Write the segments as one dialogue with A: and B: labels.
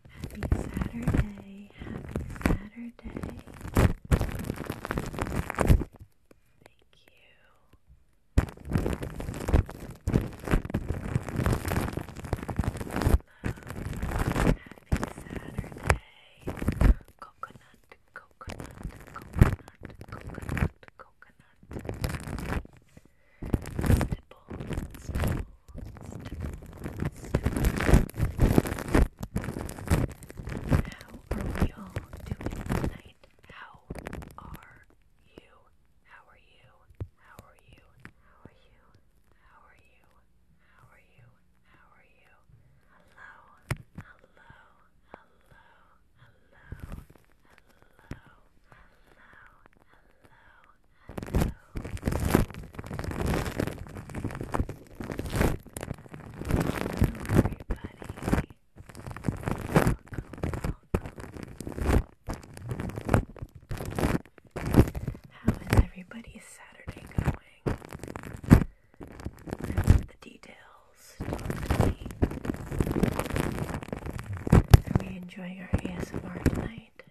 A: Happy Saturday, happy Saturday. Thank you. Love. Happy Saturday. Coconut, coconut, coconut, coconut, coconut. Stipple, stipple, stipple, stipple. How are we all doing tonight? How are you? How are you? How are you? How are you? How are you? How are you? How are you? Hello. Hello. Hello. Hello. Hello. Hello. Hello. Hello. How is everybody's Saturday going? the details. Are we enjoying our ASMR tonight?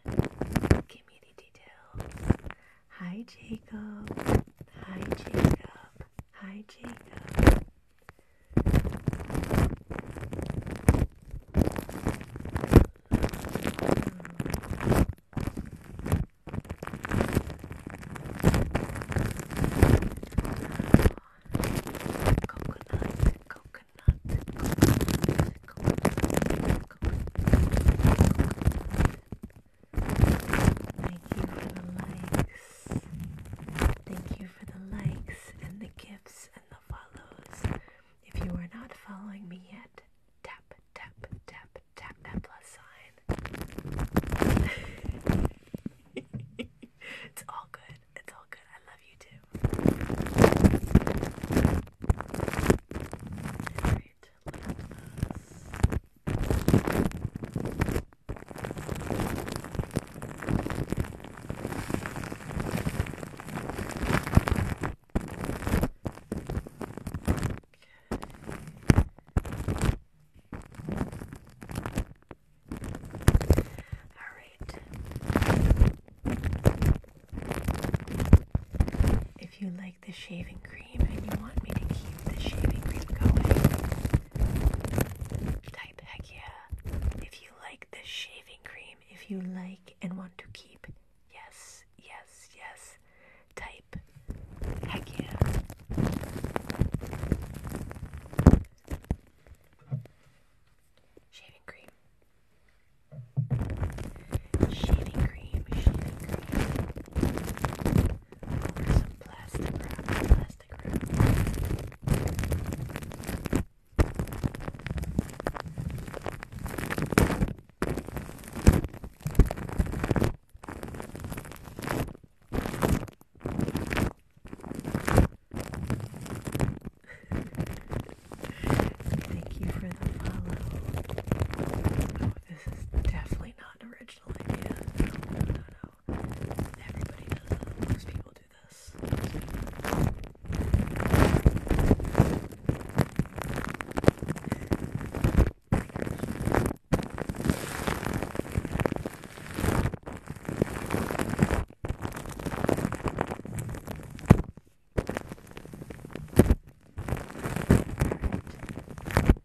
A: Give me the details. Hi, Jacob. Hi, Jacob. Hi, Jacob. Coconut, coconut, coconut, coconut, coconut, Thank you for the likes. Thank you for the likes and the gifts and the follows. If you are not following me yet, tap, tap, tap, tap that plus sign. it's all good. It's all good. I love you too. All right. If you like like the shaving cream and you want me to keep the shaving cream going, type heck yeah. If you like the shaving cream, if you like and want to keep, yes, yes, yes, type heck yeah. Shaving cream. Shaving cream, shaving cream some plastic wrap, plastic wrap. Thank you for the follow. Oh, this is definitely not original original idea. No, no, Everybody does that. Most people do this.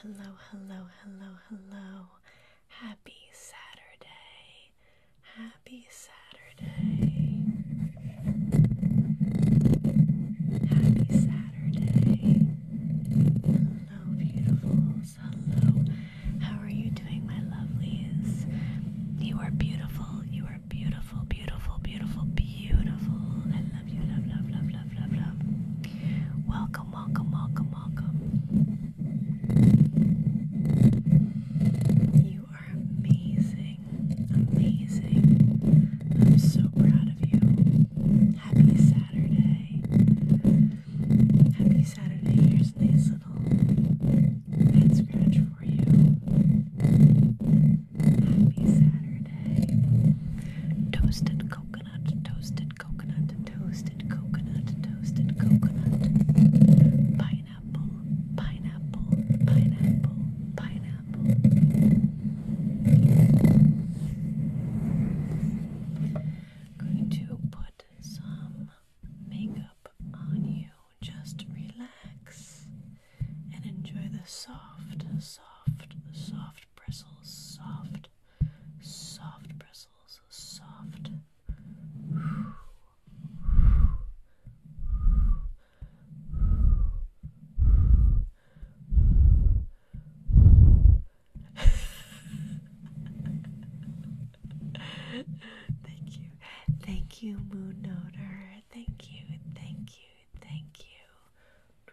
A: Hello, hello, hello, hello. Happy Saturday. Happy Saturday. Happy Saturday. Hello, beautifuls. Hello. How are you doing, my lovelies? You are beautiful. You are beautiful, beautiful, beautiful, beautiful beautiful. I love you, love, love, love, love, love, love. Welcome, welcome, welcome, welcome. You are amazing, amazing. I'm so proud of you. Happy Saturday. Happy Saturday. Here's a little head scratch for you. Happy Saturday. Toasted coconut, toasted coconut, toasted coconut, toasted coconut. Pineapple, pineapple, pineapple, pineapple. Going to put some makeup on you. Just relax and enjoy the soft, soft, soft bristles, soft, soft bristles, soft. thank you. Thank you, Moon Thank you. Thank you. Thank you.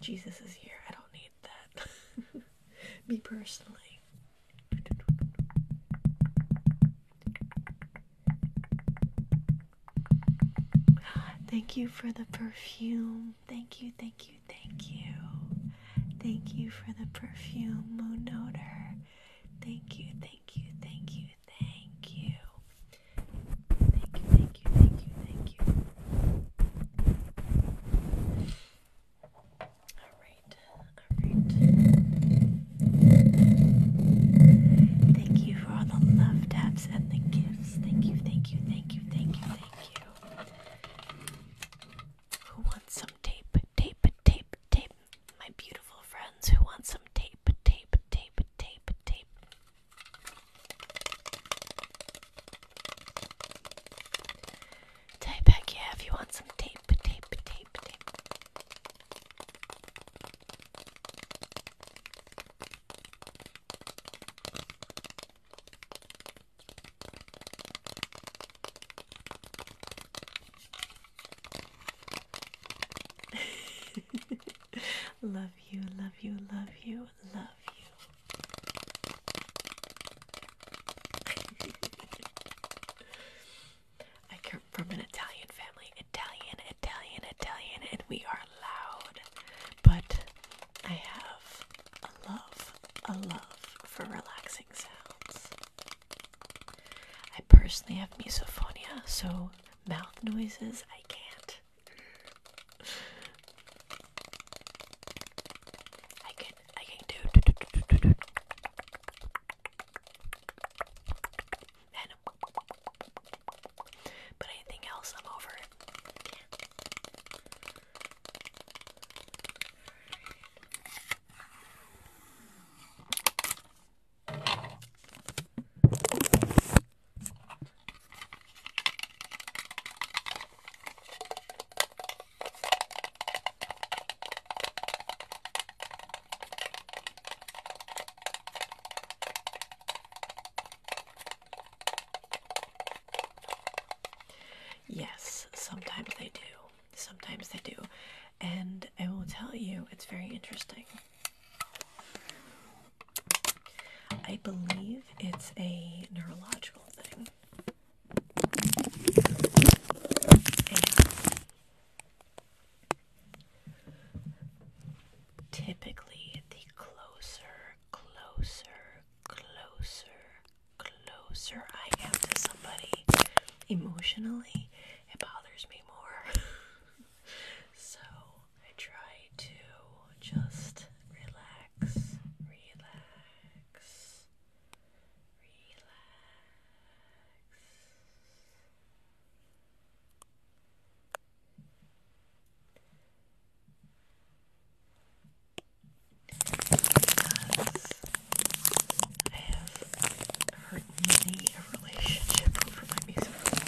A: Jesus is here. I don't need that. Me personally. Thank you for the perfume. Thank you, thank you, thank you. Thank you for the perfume, Moon Odor. Thank you, thank you, thank you, thank you. Thank you, thank you, thank you, thank you. Alright, alright. Thank you for all the love taps and the gifts. Thank you, thank you, thank you, thank you, thank you. Who wants some tape? Tape, tape, tape. My beautiful friends who want some tape, tape, tape, tape, tape. Tape back here if you want some tape, tape, tape, tape. love you, love you, love you. I come from an Italian family. Italian, Italian, Italian, and we are loud. But I have a love, a love for relaxing sounds. I personally have misophonia, so mouth noises I can't. I can, I can do, do, do, do, do, do. And, but anything else, I'm over it. Yeah. Yes, sometimes they do. Sometimes they do. And I will tell you, it's very interesting. I believe it's a neurological thing. typically, the closer, closer, closer, closer I am to somebody emotionally, it bothers me more. so I try to just relax, relax, relax. I have hurt many a over my music video.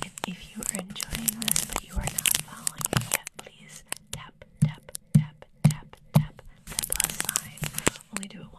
A: If, if you are enjoying this but you are not following me yet, please tap, tap, tap, tap, tap, the plus sign. Only do it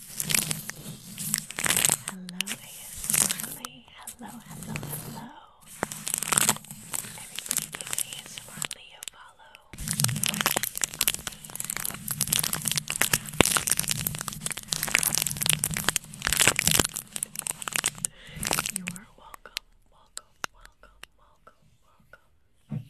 A: Hello, ASMRly. Hello, hello, hello. Everybody give ASMRly a follow. You are welcome, welcome, welcome, welcome, welcome.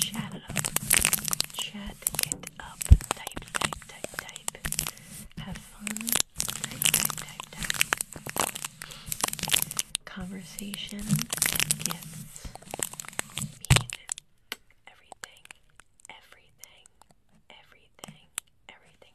A: Chat up. Chat it up. Type, type, type, type. Have fun. Type, type, type, type. Conversation. Gifts. Mean. Everything. Everything everything, everything.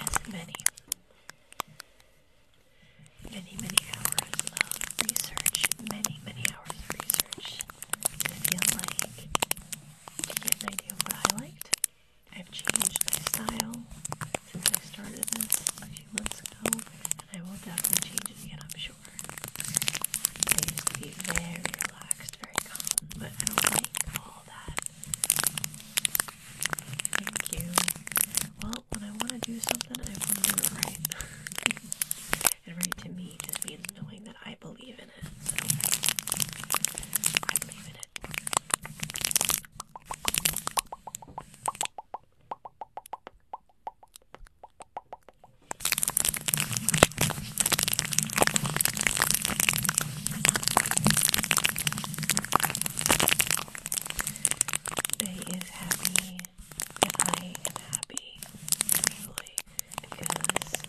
A: As many many, many hours of research, many, many hours of research to feel like I get an idea of what I liked. I've changed my style since I started this a few months ago, and I will definitely change it again, I'm sure. I used to be very relaxed, very calm, but I don't like all that Thank you. Well, when I want to do something, I want it and right to me just means knowing that I believe in it. I believe in it day is happy and I am happy usually because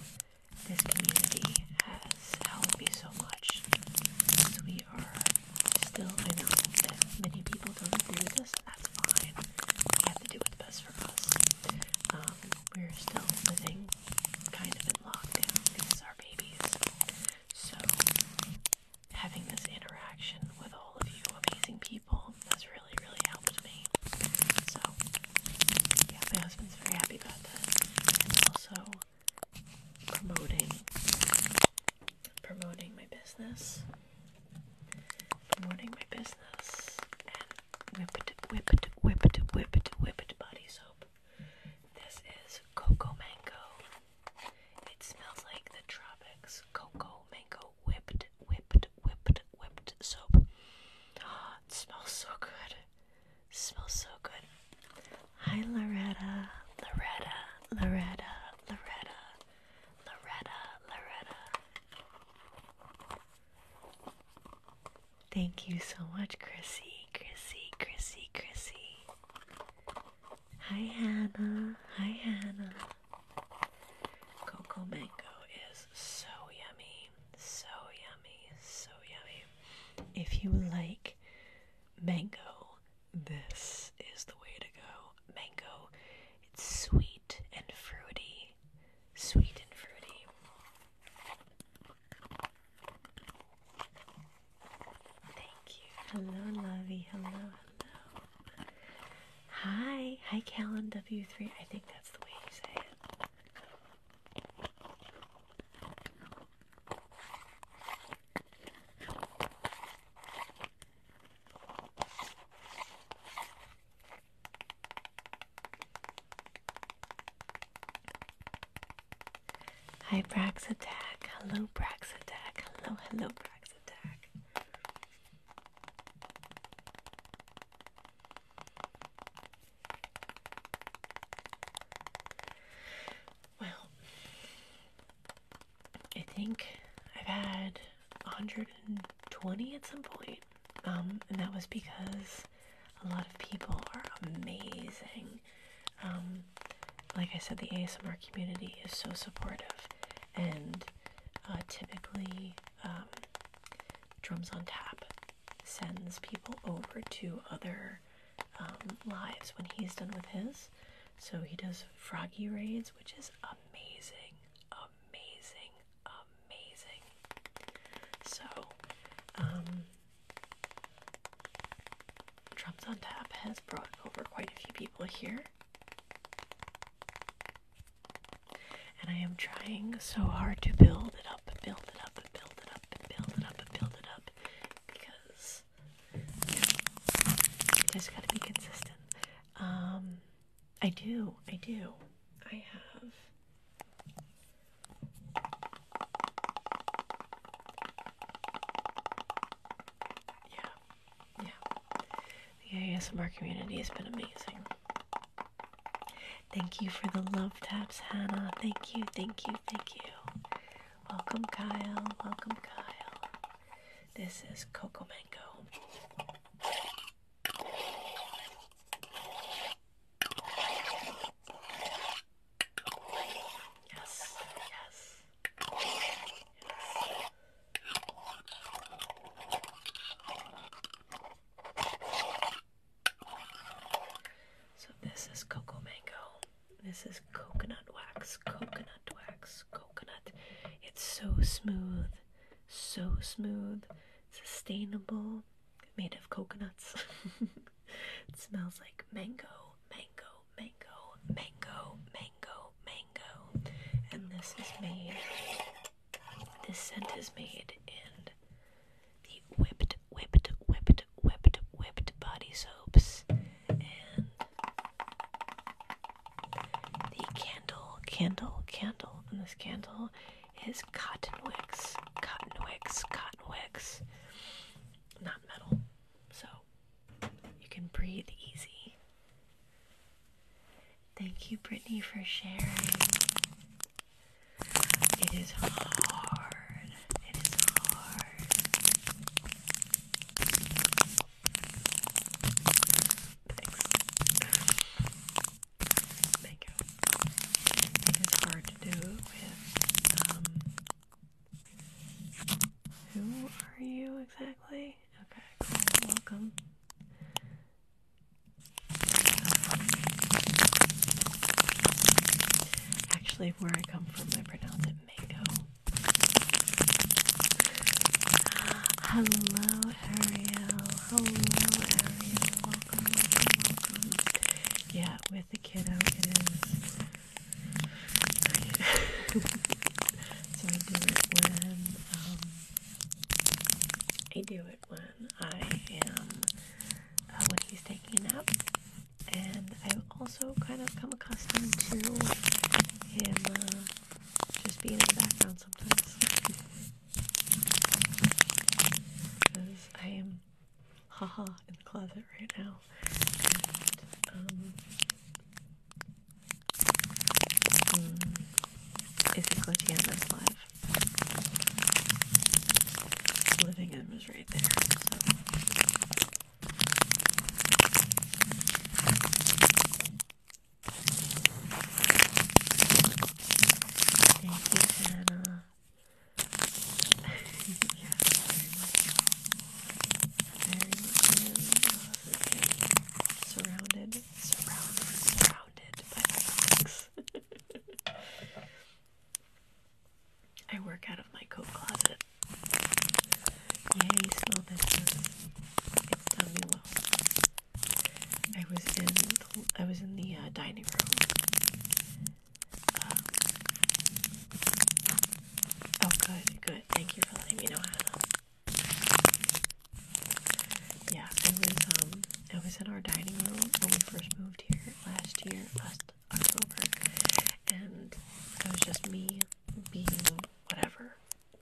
A: this community has helped me so much because we are still, I know that many people don't agree with us, that's fine. We have to do what's best for us. Um, we're still living kind of in lockdown because our babies. So having this interaction with all of you amazing people has really, really helped me. So, yeah, my husband's very happy about that. And also promoting, promoting my business, promoting my business, and whip it, whip it, whip it, whip it, whip it body soap. This is Coco Mango it smells like the tropics. Cocoa mango whipped, whipped, whipped, whipped soap. Oh, it smells so good. It smells so good. Hi, Loretta. Loretta, Loretta, Loretta, Loretta, Loretta. Thank you so much, Chrissy, Chrissy, Chrissy, Chrissy. Hi Hannah. Hi Hannah. Coco mango is so yummy. So yummy. So yummy. If you like mango, this is the way to go. Mango. It's sweet and fruity. Sweet and fruity. Thank you. Hello, lovey. Hello, hello. Hi. Hi, Callan W3. I think that's the way you say it. Hi, Brax Hello, Brax Hello, hello, Brax Well, I think I've had 120 at some point, um, and that was because a lot of people are amazing. Um, like I said, the ASMR community is so supportive and uh, typically um, Drums on Tap sends people over to other um, lives when he's done with his. So he does froggy raids, which is amazing, amazing, amazing. So, um, Drums on Tap has brought over quite a few people here. And I am trying so hard to build it up, and build it up, and build it up, and build it up, and build it up, because you just gotta be consistent. Um, I do, I do. I have. Yeah, yeah. The ASMR community has been amazing. Thank you for the love taps, Hannah. Thank you, thank you, thank you. Welcome, Kyle. Welcome, Kyle. This is Coco Mango. Yes, yes. So this is cocoa mango. This is coconut wax, coconut wax, coconut. It's so smooth, so smooth, sustainable, made of coconuts. it smells like mango mango, mango, mango, mango, mango. And this is made, this scent is made in the whipped, whipped, whipped, whipped, whipped body soaps and the candle, candle, candle. And this candle is cotton wicks, cotton wicks, cotton wicks, not metal. So you can breathe easy. Thank you, Brittany, for sharing. It is hard. It is hard. It is hard to do with, um, who are you exactly? Okay, cool. Welcome. Actually, where I come from, I pronounce it mango. Hello, Ariel. Hello, Ariel. welcome, welcome. Yeah, with the kiddo, it is so I do it when um, I do it when I am uh, when he's taking a nap, and I've also kind of come accustomed to him uh, just being in the background sometimes. because I am haha in the closet right now. Um, is it close to end this life? Living Emma's right there. Thank you, Hannah. Very good. Surrounded, surrounded, surrounded by bags. I work out of my coat closet. Yay, smell business. It's done me well. I was in the, I was in the uh, dining room. Um, oh, good, good. Thank you for letting me know, Hannah. Yeah, I was um I was in our dining room when we first moved here last year, last October, and it was just me being whatever,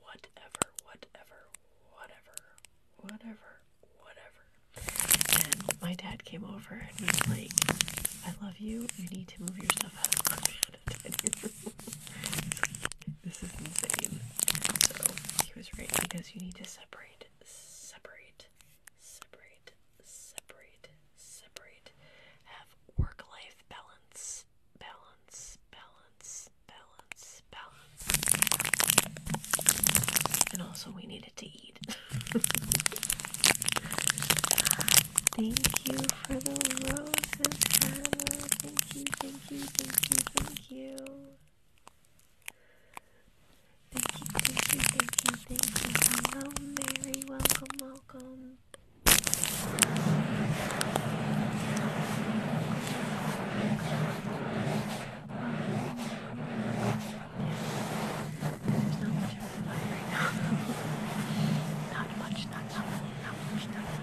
A: whatever, whatever, whatever, whatever, whatever. And my dad came over and was like, I love you, you need to move your stuff out of this is insane. So he was right because you need to separate, separate, separate, separate, separate. Have work-life balance, balance, balance, balance, balance. And also, we needed to eat. Thank you for the roses, thank you, thank you, thank you. Thank you, thank you, thank you, thank you. Hello, Mary. Welcome, welcome. There's not much of a right now. not much, not, not, not much, not much.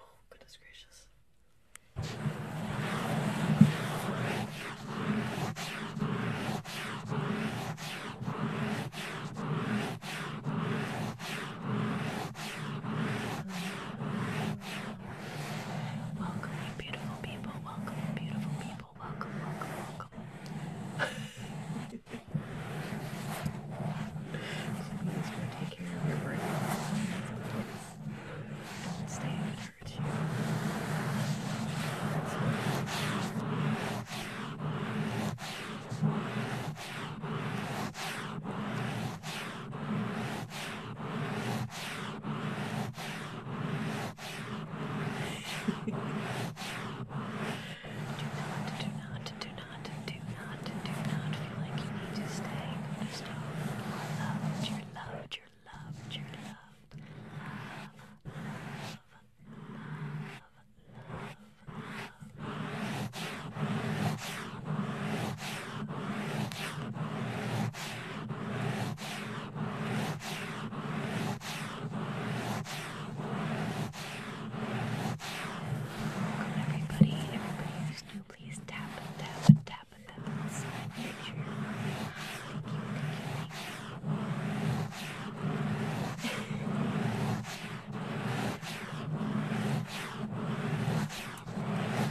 A: Oh, goodness gracious. Welcome, beautiful people. Welcome, beautiful people. Welcome, welcome, welcome. Please go take care of your brain. Don't stay if it hurts you. That's do not, do not, do not, do not, do not feel like you need to stay focused on your loved, your loved, your loved, your loved. Love, love, love, love, love, love. Welcome everybody, everybody who's new, please tap, tap, tap at that little sign, make sure you're Thank you, thank you, thank you. thank you.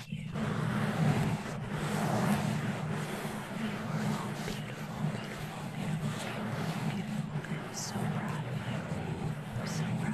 A: Beautiful, beautiful, beautiful, beautiful, beautiful. I'm so proud of you. I'm so proud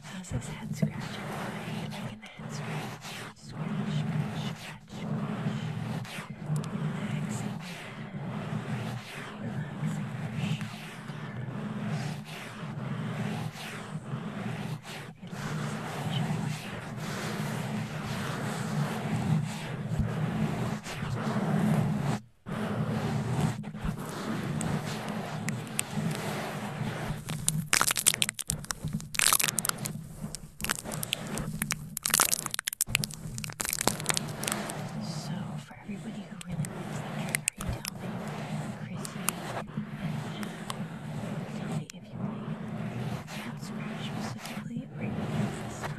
A: How's this head scratch? Are you liking the head scratch? Scratch, scratch, scratch, scratch. Relaxing. Relaxing her shoulders. Relaxing her shoulders. So, for everybody who really wants that trigger, you tell me, Chrissy, tell me if you like that scratch specifically, or even this scratch.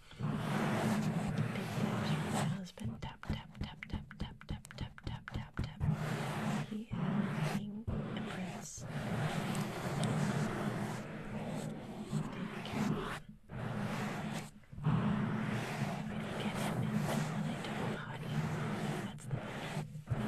A: Big thanks from my husband. Tap, tap, tap, tap, tap, tap, tap, tap, tap, tap. He is king and prince. Take care. Really get it in when I don't potty. That's the thing.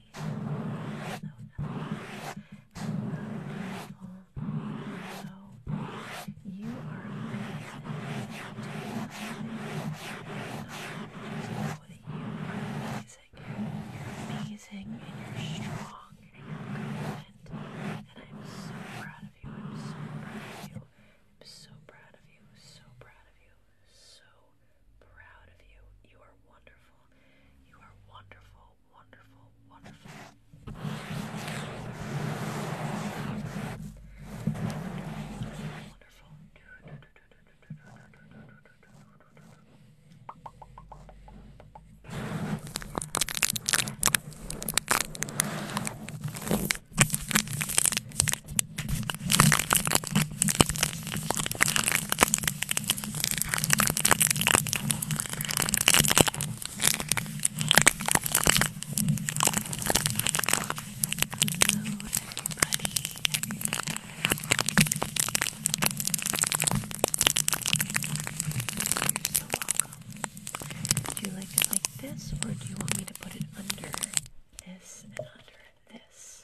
A: you are amazing. You're amazing and you're strong and you're confident. And I'm so proud of you. I'm so proud of you. I'm so proud of you. So proud of you. So proud of you. You are wonderful wonderful. You are wonderful, wonderful, wonderful. Wonderful, wonderful. Do you like it like this, or do you want me to put it under this and under this?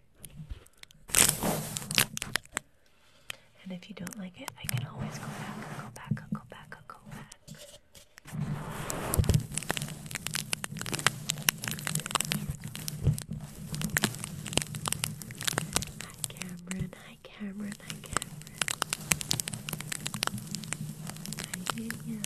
A: and if you don't like it, I can always go back, go back, go back, go back. Hi Cameron, hi Cameron, hi Cameron. Hi Danielle,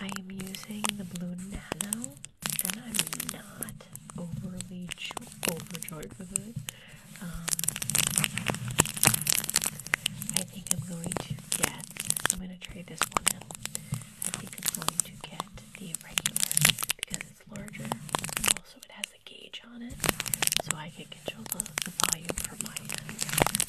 A: I am using the Blue Nano, and I'm not overly overjoyed with it. Um, I think I'm going to get, I'm going to trade this one out. I think I'm going to get the regular because it's larger. Also, it has a gauge on it, so I can control the, volume from my end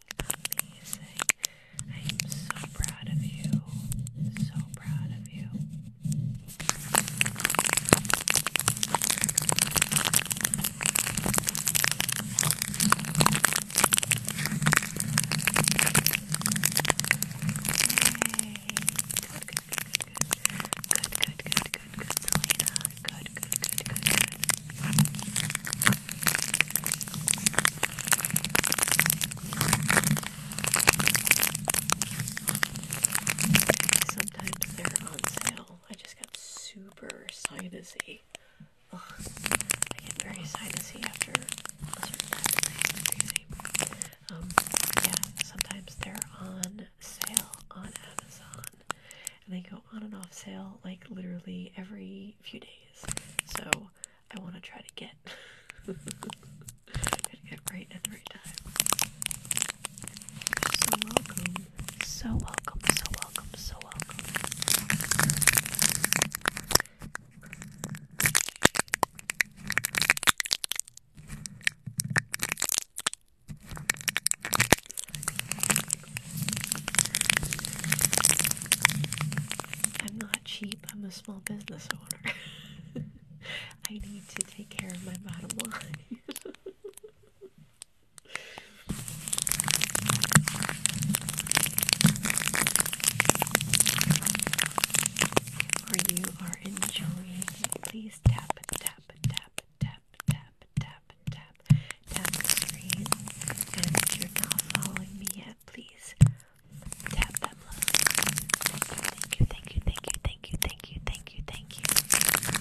A: amazing. I am so proud of you. So proud of you. Good, good, good, good, good, good, good, good, good, good, good, Sometimes they're on sale. I just got super sinusy. I get very sinusy after a certain um, yeah, sometimes they're on sale on Amazon. And they go on and off sale like literally every few days. So I want to try to get. try right at the right time. So welcome, so welcome, so welcome, so welcome. I'm not cheap. I'm a small business owner. I need to take care of my bottom line. or you are enjoying, please tap, tap, tap, tap, tap, tap, tap, tap screen. And you're not following me yet, please tap that Thank you, thank you, thank you, thank you, thank you, thank you, thank you, thank you.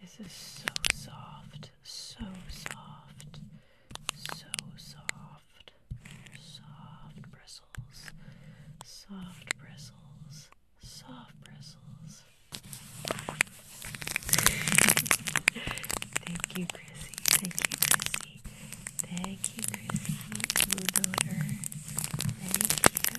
A: This is so soft, so soft, so soft, soft bristles, soft bristles, soft bristles. Thank you, Chrissy. Thank you, Chrissy. Thank you, Christy Blue Daughter. Thank you.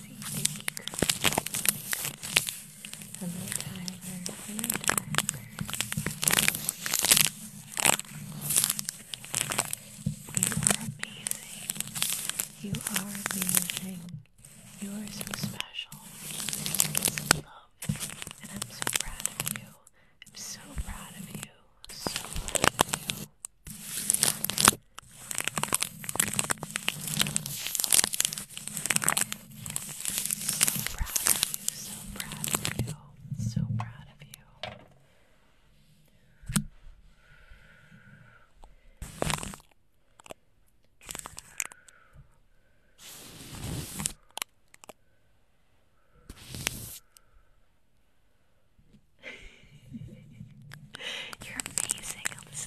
A: thank you, are amazing. You are amazing. You are so special. Love. And I'm so proud of you. I'm so proud of you. So proud of you. So proud of you, so proud of you, so proud of you. You're amazing, Elvis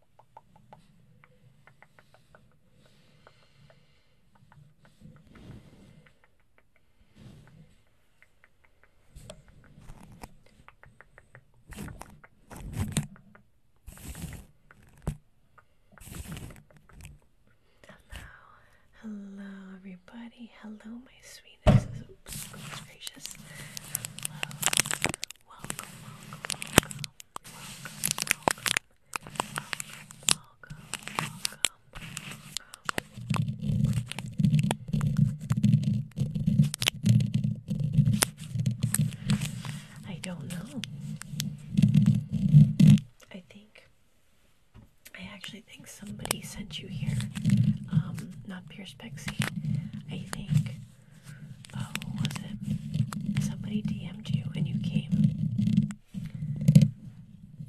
A: Hello, everybody. Hello, my sweetest. Oops, goodness gracious. Hello. Welcome, welcome, welcome. Welcome, welcome. I don't know. I think I actually think somebody sent you here. Um, not Pierce Pixie. I think Oh, was it? Somebody DM'd you and you came.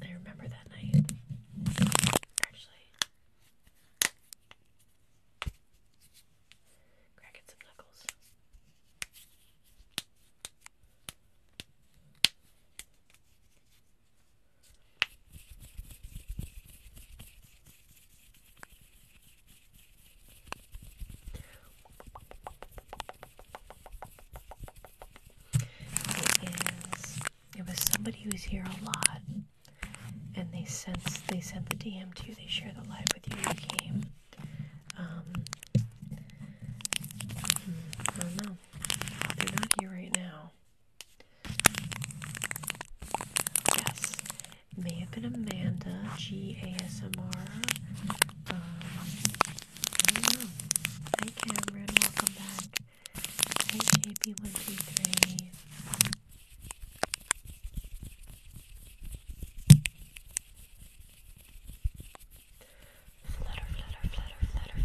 A: I remember that night. Actually, cracking some knuckles. It was somebody who was here a lot, and they sense they sent the DM to you. They share the live with you. They came. Um, hmm, I don't know. They're not here right now. Yes, may have been Amanda G A S M R. Um, Hi Cameron, welcome back. Hi JP123. Flutter, flutter, flutter, flutter, flutter, flutter, flutter, flutter,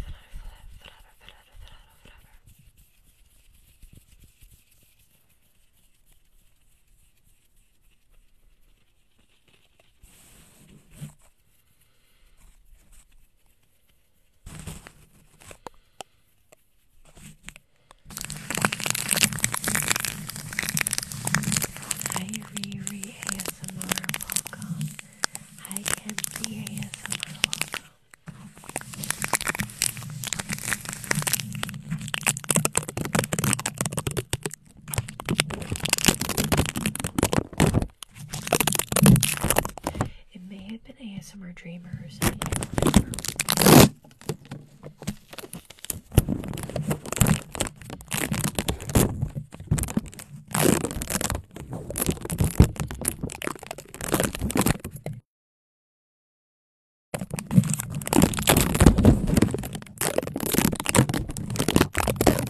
A: flutter, flutter. Hi Riri ASMR, welcome. Hi Kenzie ASMR, welcome. It may have been ASMR Dreamers.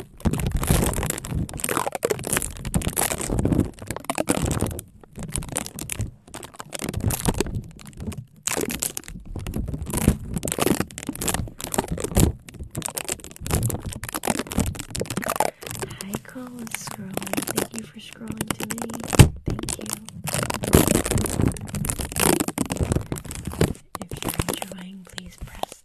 A: Hi, Cole is scrolling. Thank you for scrolling to me. Thank you. If you're enjoying, please press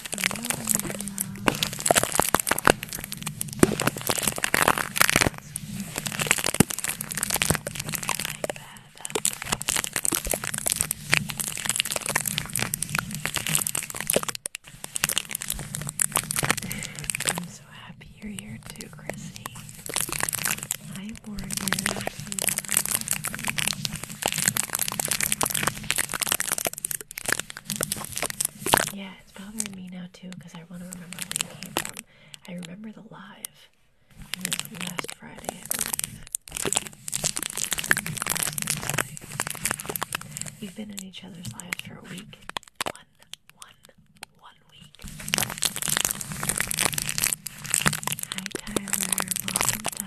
A: I'm so happy you're here too, Chrissy. Hi, Morgan. Yeah, it's bothering me now too because I want to remember where it came from. I remember the live. It was last Friday, I believe. We've been in each other's lives for a week. One, one, one week. Hi Tyler, welcome Tyler.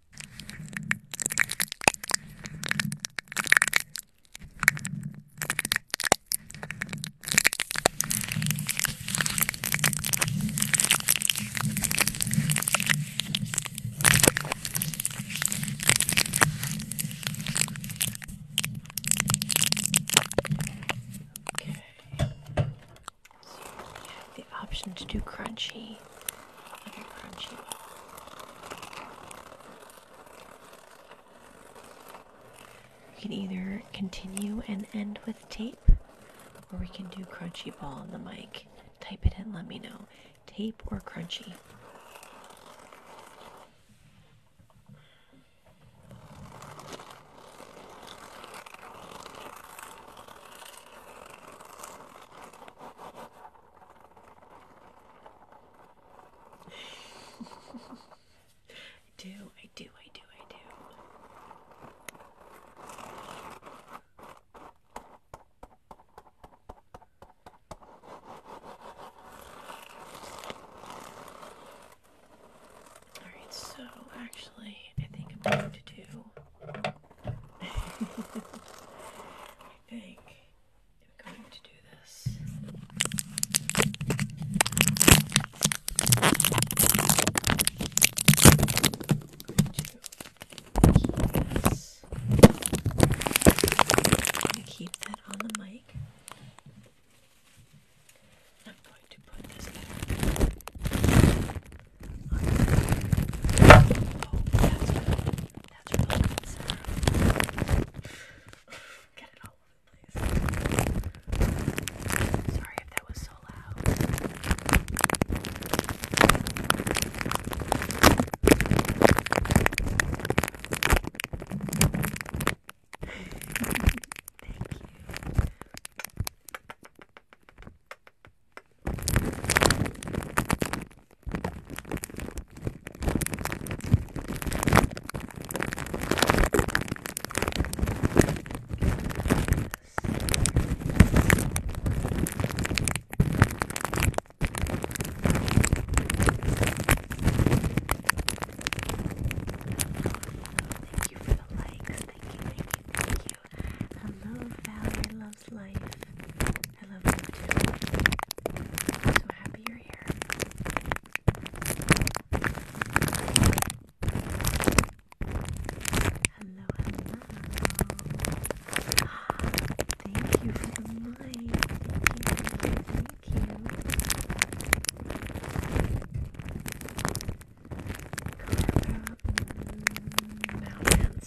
A: Okay. So we have the option to do crunchy crunchy ball. We can either continue and end with tape, or we can do crunchy ball on the mic. Type it in, let me know. Tape or crunchy. I do, I do, I do, I do. Alright, so actually, I think I'm going to I think I'm going to do this. I'm going to keep this. I'm going to keep that on the mic. I'm going to put this natural conserve. Get it all over the place. Sorry if that was so loud. Thank you. Thank you for the likes. Thank you, thank you, thank you. Hello, Valerie loves life. I love you too. so happy you're here. Hello, hello. Thank you for the light. Thank you. Thank you. Colorado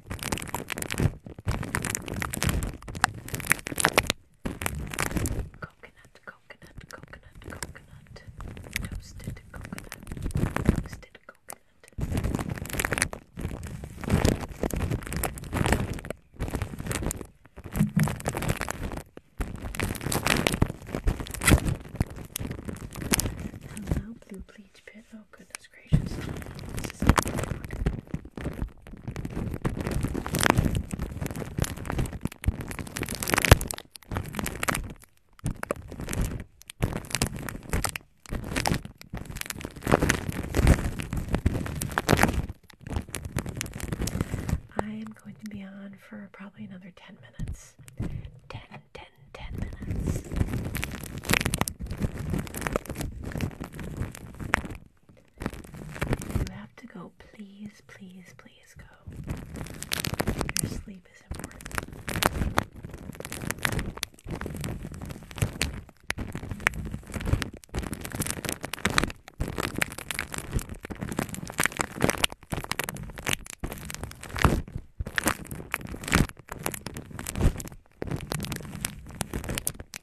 A: Coconut, coconut, coconut, coconut, toasted coconut, toasted coconut. Hello, blue bleach pit. Oh goodness gracious. This is I am going to be on for probably another 10 minutes. 10, 10, 10 minutes. You have to go. Please, please, please go. Your sleep is important.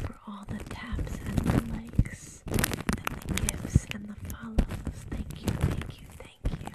A: for all the taps and the likes and the gifts and the follows. Thank you, thank you, thank you.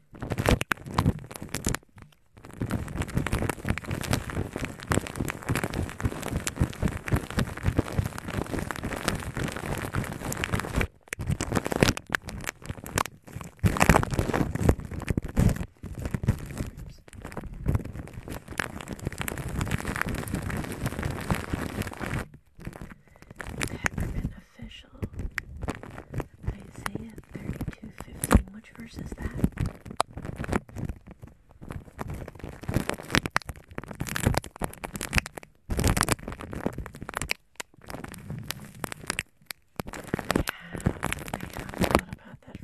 A: Peppermint official Isaiah 32:15. Which verse is that? Yeah, I thought about that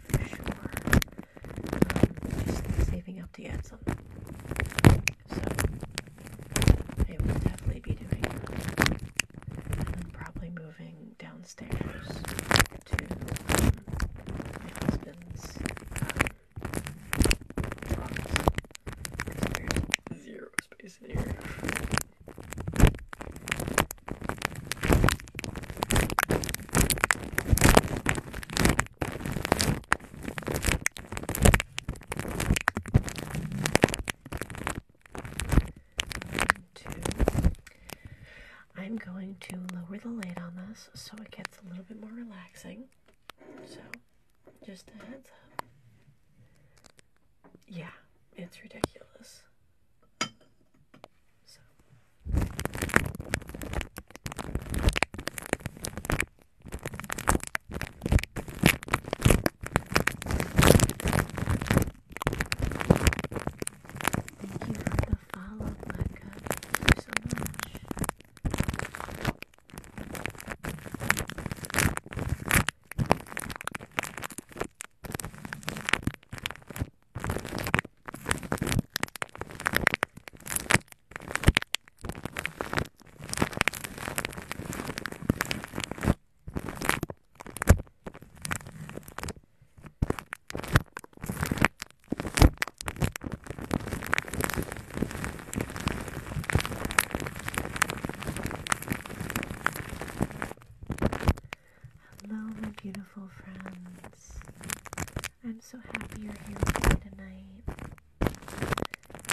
A: for sure. Um, just saving up the ads on So, I will definitely be doing probably moving downstairs to my husband's um, there's zero space in here i I'm going to lower the lid on this so it gets a little bit more relaxing. So, just a heads up. Yeah, it's ridiculous. Thank you for the follow, Becca. so much. Hello, my beautiful friends. I'm so happy you're here with me tonight.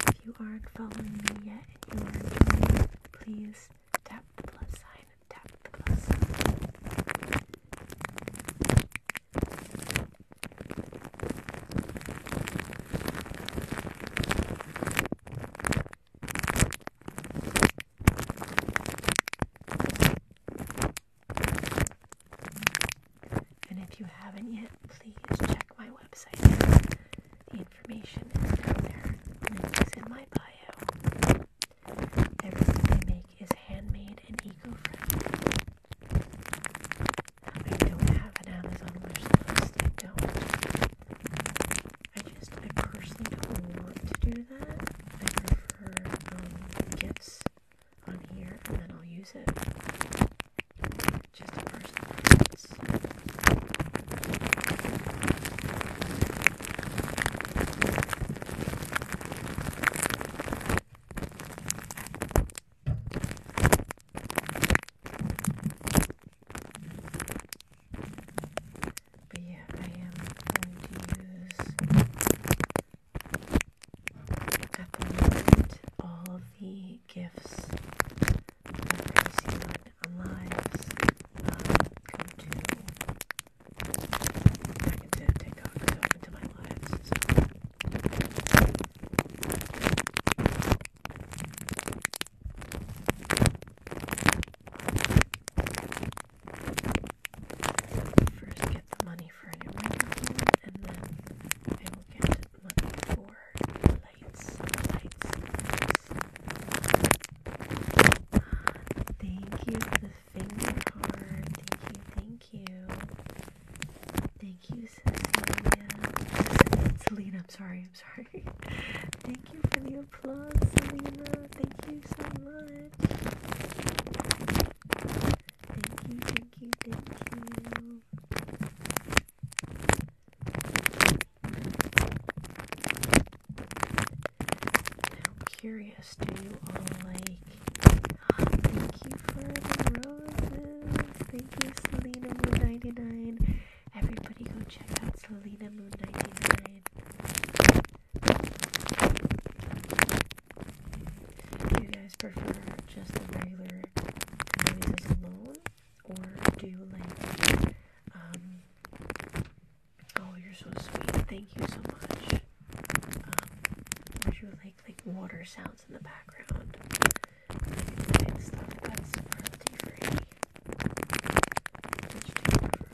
A: If you aren't following me yet please Tap the plus sign. Tap the plus sign. And if you haven't yet, please check my website the information is down there. Link is in my bio. Everything I make is handmade and eco-friendly. I don't have an Amazon wish I don't. I just, I personally don't want to do that. I prefer um, gifts on here and then I'll use it. Just a personal preference. But yeah, I am going to use at the moment all of the gifts that I see on our lives uh, come to back into TikTok, so into my lives. first get the money for a new microphone and then I will get money for lights, lights, lights, Thank you for the finger card. Thank you, thank you. Thank you, Cecilia. Selena, I'm sorry, I'm sorry. thank you for the applause, Selena. Thank you so much. Thank you, thank you, thank you i curious, do you all like? thank you for the roses. Thank you, Selena Moon 99. Everybody, go check out Selena Moon 99. Do you guys prefer just the regular noises alone, or do you like um, Oh, you're so sweet. Thank you so much. would um, you like like water sounds in the background? Like, stuff that's royalty free.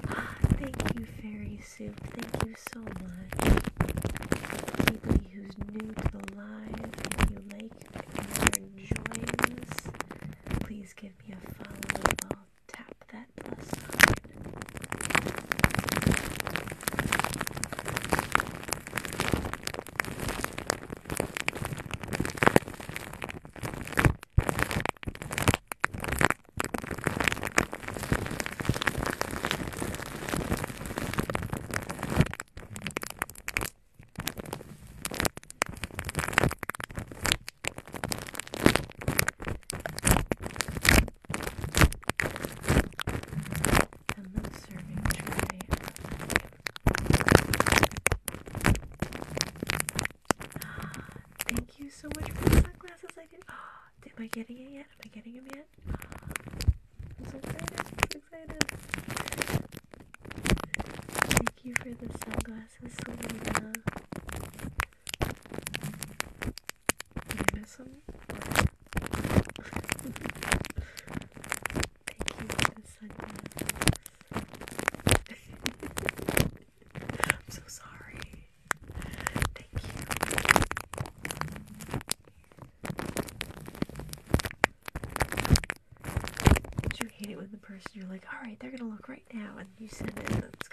A: Ah, thank you, fairy soup. Thank you so much. Anybody who's new to the live, if you like, if you're enjoying this, please give me a follow tap that plus sign. Hello, serving tray. Thank you so much for the sunglasses. I did. Oh, am I getting it yet? Am I getting them yet? I'm so excited. excited. Thank you for the sunglasses, Selena. Did Thank you I'm so sorry. Thank you. you hate it when the person you're like, alright, they're gonna look right now, and you send it,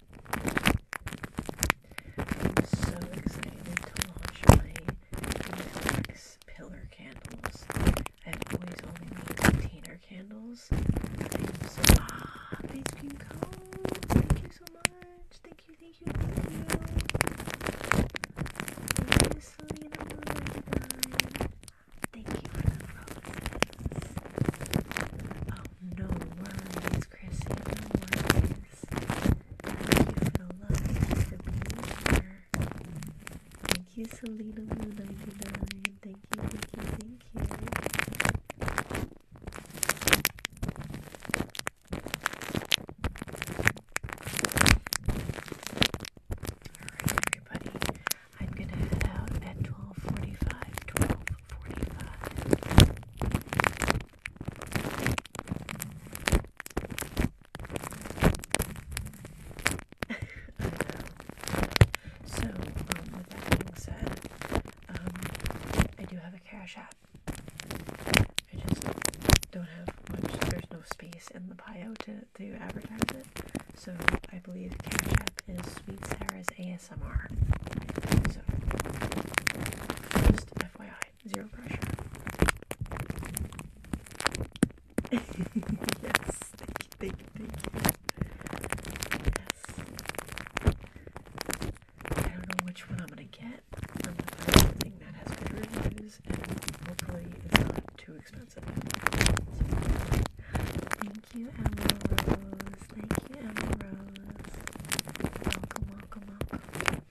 A: I'm So excited to launch my Netflix pillar candles. I've always only container candles. so ah, Thank you so much. Thank you, thank you, thank you. Thank you, for the no worries, Chrissy, no worries. Thank you for the love, thank you Thank you, Selena Luna, Thank you, thank you, thank you. Alright, everybody. I'm going to head out at 1245, 1245. I know. So, um, with that being said, um, I do have a cash app. I just don't have much, there's no space in the bio to, to advertise it. So, I believe Cash App is Sweet Sarah's ASMR. ASMR. So, just FYI, zero pressure. yes, thank you, thank I don't know which one I'm gonna get. I'm gonna something that has good reviews and hopefully it's not too expensive. Thank you, Emma Rose. Thank you, Emma Rose. Welcome, welcome, welcome.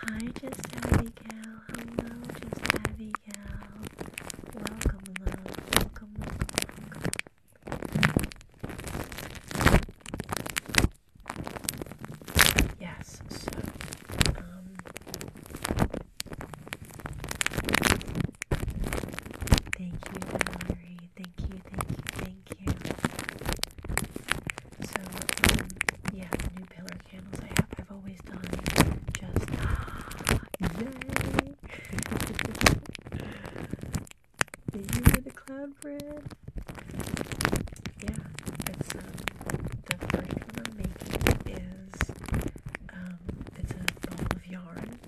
A: Hi, just Abigail. Hello, just Abigail. Welcome, Welcome, welcome, welcome. Yes, so um Thank you, Valerie. Thank you, thank you, thank you. So, um, yeah, new pillar candles I have. I've always done just. Yay! Did cloud bread? Yeah, it's um, the first making um, it's a ball of yarn.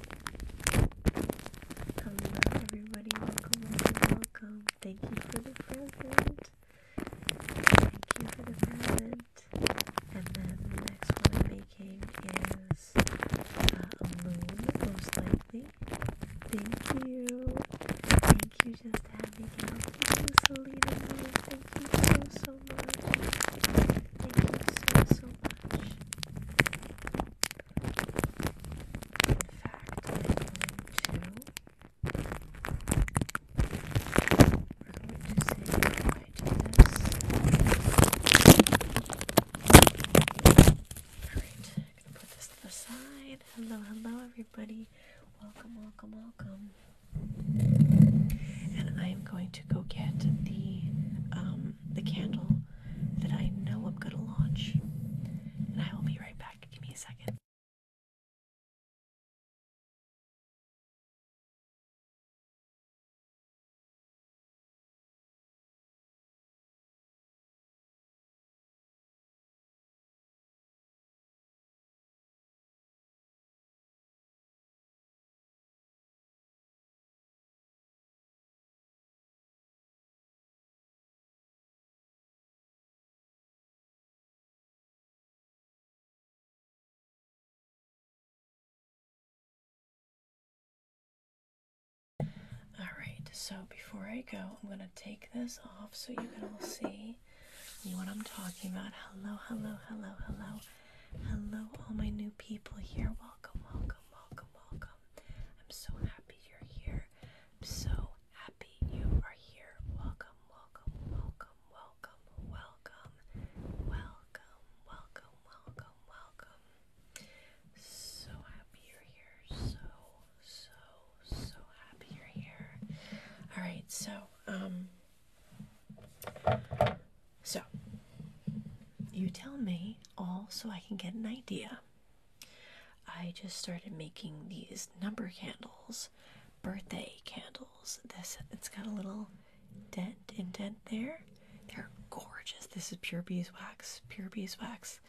A: Hello, um, everybody. Welcome, welcome, Thank you for the present. Thank you for the present. And then the next one I'm making is uh, a moon, most likely. Thank you. Thank you, just Thank you, Selena. Thank you so, so much. Thank you so, so much. fact, I'm going to. we this. Alright, I'm going to put this to the side. Hello, hello, everybody. Welcome, welcome, welcome. And I am going to go get the um, the candle that I know I'm gonna launch. And I will be right back. Give me a second. Alright, so before I go, I'm going to take this off so you can all see what I'm talking about. Hello, hello, hello, hello. Hello, all my new people here. Welcome, welcome, welcome, welcome. I'm so happy you're here. I'm so happy you are here. Welcome, welcome, welcome, welcome, welcome, welcome, welcome, welcome, welcome. So happy you're here. So, so, so happy you're here. All right, so, um, so, you tell me all so I can get an idea. I just started making these number candles, birthday candles. This it's got a little dent indent there. They're gorgeous. This is pure beeswax, pure beeswax.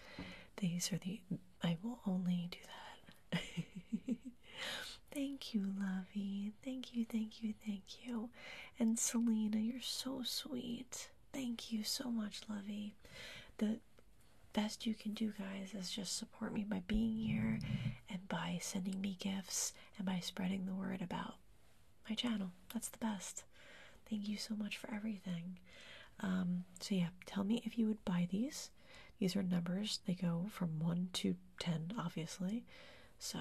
A: These are the I will only do that. Thank you, Lovey. Thank you, thank you, thank you. And Selena, you're so sweet. Thank you so much, Lovey. The best you can do, guys, is just support me by being here and by sending me gifts and by spreading the word about my channel. That's the best. Thank you so much for everything. Um, so, yeah, tell me if you would buy these. These are numbers, they go from 1 to 10, obviously. So,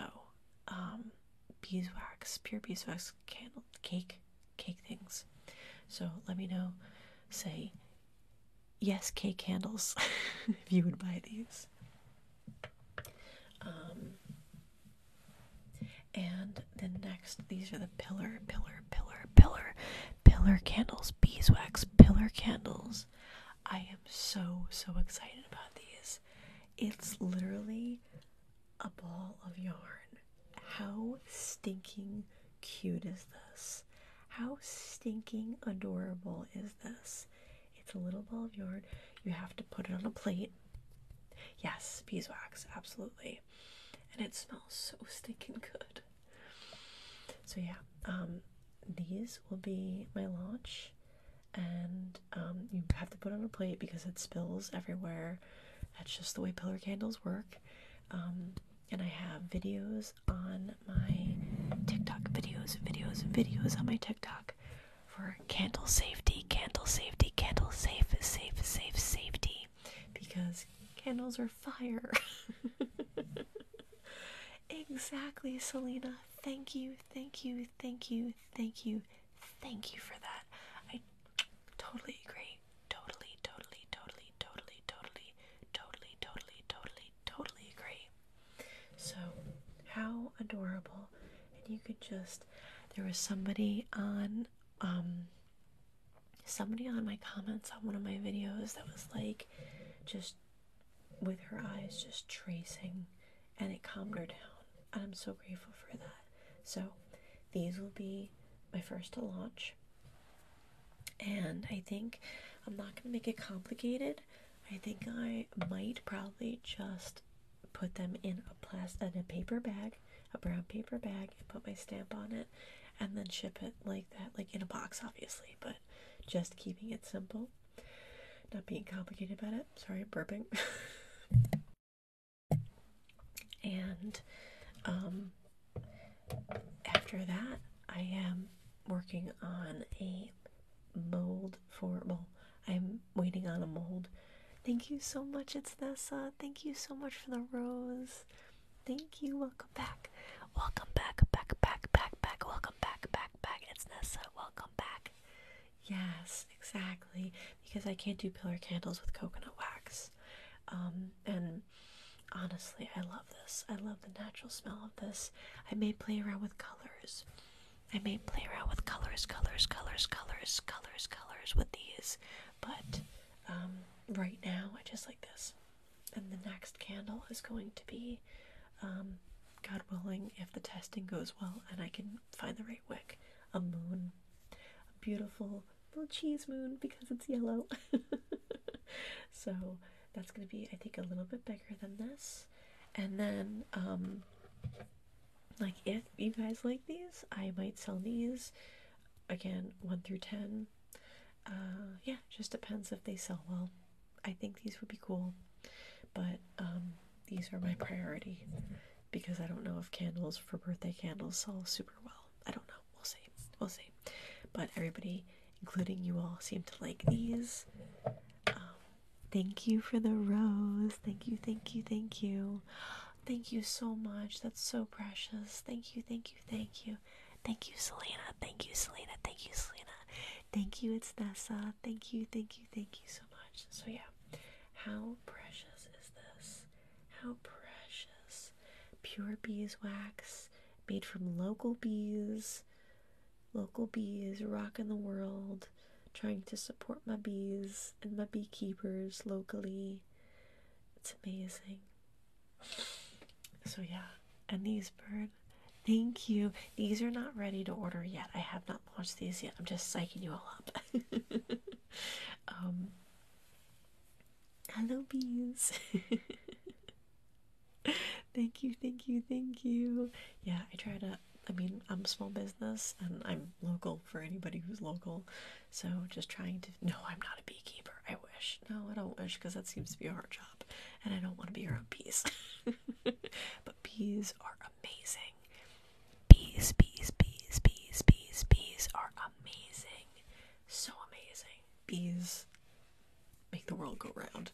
A: um, beeswax, pure beeswax candle cake cake things. So let me know. Say yes, cake candles if you would buy these. Um, and then next, these are the pillar, pillar, pillar, pillar, pillar candles, beeswax pillar candles. I am so so excited about these. It's literally a ball of yarn. How stinking cute is this? How stinking adorable is this? It's a little ball of yarn. You have to put it on a plate. Yes, beeswax, absolutely. And it smells so stinking good. So yeah, um these will be my launch and um, you have to put on a plate because it spills everywhere. That's just the way pillar candles work. Um, and I have videos on my TikTok videos, videos, videos on my TikTok for candle safety, candle safety, candle safe, safe, safe, safety because candles are fire. exactly, Selena. Thank you, thank you, thank you, thank you, Thank you for that. I totally agree. Totally, totally, totally, totally, totally, totally, totally, totally, totally agree. So, how adorable. And you could just, there was somebody on, um, somebody on my comments on one of my videos that was like, just with her eyes, just tracing and it calmed her down. And I'm so grateful for that. So these will be my first to launch. And I think I'm not going to make it complicated. I think I might probably just put them in a plastic in a paper bag, a brown paper bag, and put my stamp on it, and then ship it like that, like in a box, obviously. But just keeping it simple. Not being complicated about it. Sorry, burping. and um, after that, I am working on a mold for well, I'm waiting on a mold. Thank you so much, it's Nessa. Thank you so much for the rose. Thank you. Welcome back. Welcome back, back, back, back, back. Welcome back, back, back. It's Nessa. Welcome back. Yes, exactly. Because I can't do pillar candles with coconut wax. Um, and honestly, I love this. I love the natural smell of this. I may play around with colors. I may play around with colors, colors, colors, colors, colors, colors with these. But um, right now, I just like this. And the next candle is going to be um, God willing, if the testing goes well and I can find the right wick, a moon, a beautiful little cheese moon because it's yellow. so that's going to be, I think, a little bit bigger than this. And then, um, like, if you guys like these, I might sell these again, 1 through 10. Uh, yeah, just depends if they sell well. I think these would be cool, but um, these are my priority because I don't know if candles for birthday candles sell super well. I don't know. We'll see. We'll see. But everybody, including you all, seem to like these. Um, thank you for the rose. Thank you, thank you, thank you. Thank you so much. That's so precious. Thank you, thank you, thank you. Thank you, Selena. Thank you, Selena. Thank you, Selena. Thank you, it's Nessa. Thank you, thank you, thank you so much. So, yeah. How precious is this? How precious. Pure beeswax made from local bees. Local bees rocking the world, trying to support my bees and my beekeepers locally. It's amazing. So, yeah, and these bird, thank you. These are not ready to order yet. I have not Watch these yet. I'm just psyching you all up. Um, hello, bees. thank you, thank you, thank you. Yeah, I try to. I mean, I'm small business and I'm local for anybody who's local. So just trying to. No, I'm not a beekeeper. I wish. No, I don't wish because that seems to be a hard job, and I don't want to be around bees. but bees are amazing. Bees, bees, bees, bees, bees, bees are amazing. So amazing. Bees make the world go round.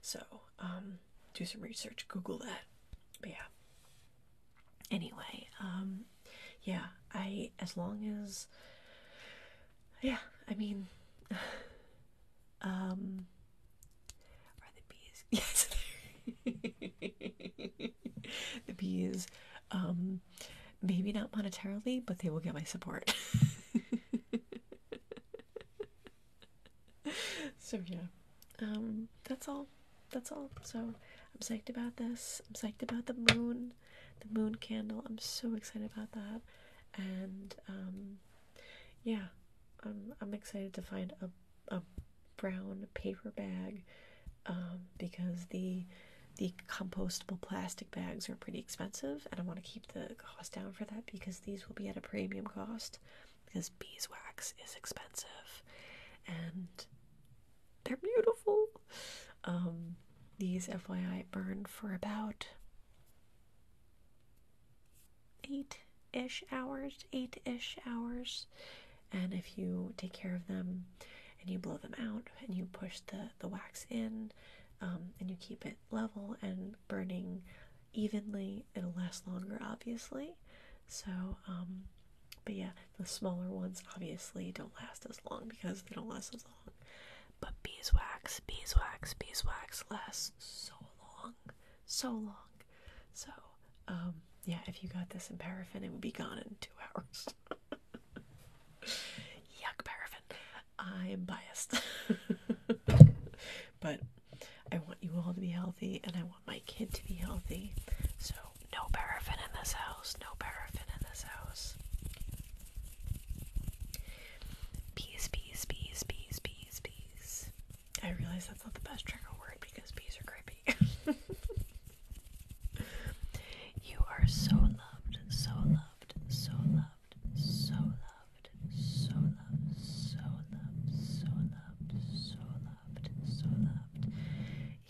A: So, um, do some research, Google that. But yeah. Anyway, um, yeah, I, as long as, yeah, I mean, um, are the bees? Yes. the bees, um, maybe not monetarily, but they will get my support. so yeah, um, that's all. That's all. So I'm psyched about this. I'm psyched about the moon, the moon candle. I'm so excited about that, and um, yeah, I'm I'm excited to find a a brown paper bag um, because the the compostable plastic bags are pretty expensive, and I want to keep the cost down for that because these will be at a premium cost because beeswax is expensive and they're beautiful. Um, these FYI burn for about eight ish hours, eight ish hours. And if you take care of them and you blow them out and you push the, the wax in um, and you keep it level and burning evenly, it'll last longer, obviously. So, um, but yeah, the smaller ones obviously don't last as long because they don't last as long. But beeswax, beeswax, beeswax lasts so long, so long back. So, um, yeah, if you got this in paraffin, it would be gone in two hours. Yuck, paraffin. I'm biased. but I want you all to be healthy and I want my kid to be healthy. So, no paraffin in this house. No paraffin in this house. Peace, peace, peace, peace, peace, peace. I realize that's not the best trigger word because bees are creepy. you are so loved, so loved, so loved, so loved, so loved, so loved, so loved, so loved, so loved.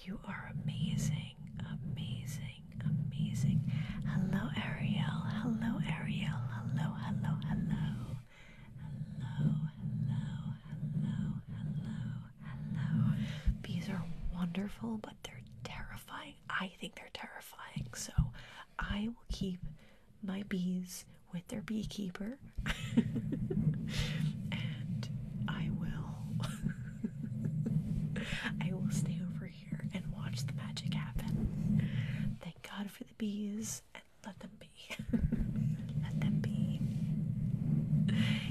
A: You are amazing, amazing, amazing. Hello, Ariel. Hello, Ariel. Hello, hello, hello. Hello, hello, hello, hello, hello. Bees are wonderful, but they're terrifying. I think they're terrifying. So I will keep my bees with their beekeeper. and I will I will stay over here and watch the magic happen. Thank God for the bees and let them be. let them be.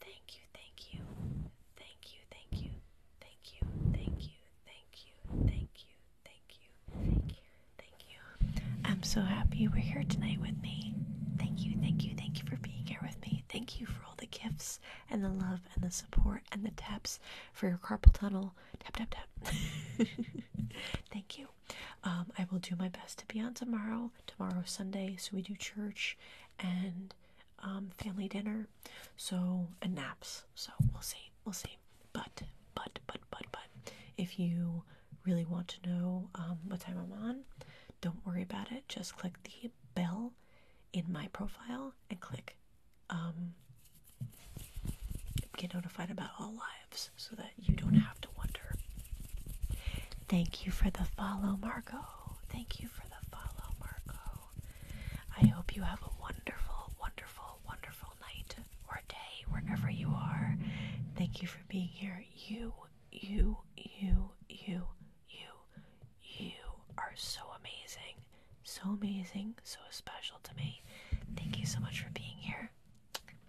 A: Thank you, thank you, thank you, thank you, thank you, thank you, thank you, thank you, thank you, thank you, thank you. I'm so happy you were here tonight with me. Thank you, thank you, thank you for being here with me. Thank you for all the gifts and the love and the support and the taps for your carpal tunnel. Tap, tap, tap. thank you. Um, I will do my best to be on tomorrow. Tomorrow's Sunday, so we do church and um, family dinner, so and naps. So we'll see, we'll see. But but but but but if you really want to know um, what time I'm on, don't worry about it. Just click the bell in my profile and click um, get notified about all lives so that you don't have to wonder. Thank you for the follow, Marco. Thank you for the follow, Marco. I hope you have a wonderful, wonderful, wonderful night or day wherever you are. Thank you for being here. You, you, you, you, you, you are so amazing. So amazing, so special to me. Thank you so much for being here.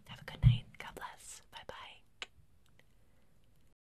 A: Have a good night. God bless. Bye bye.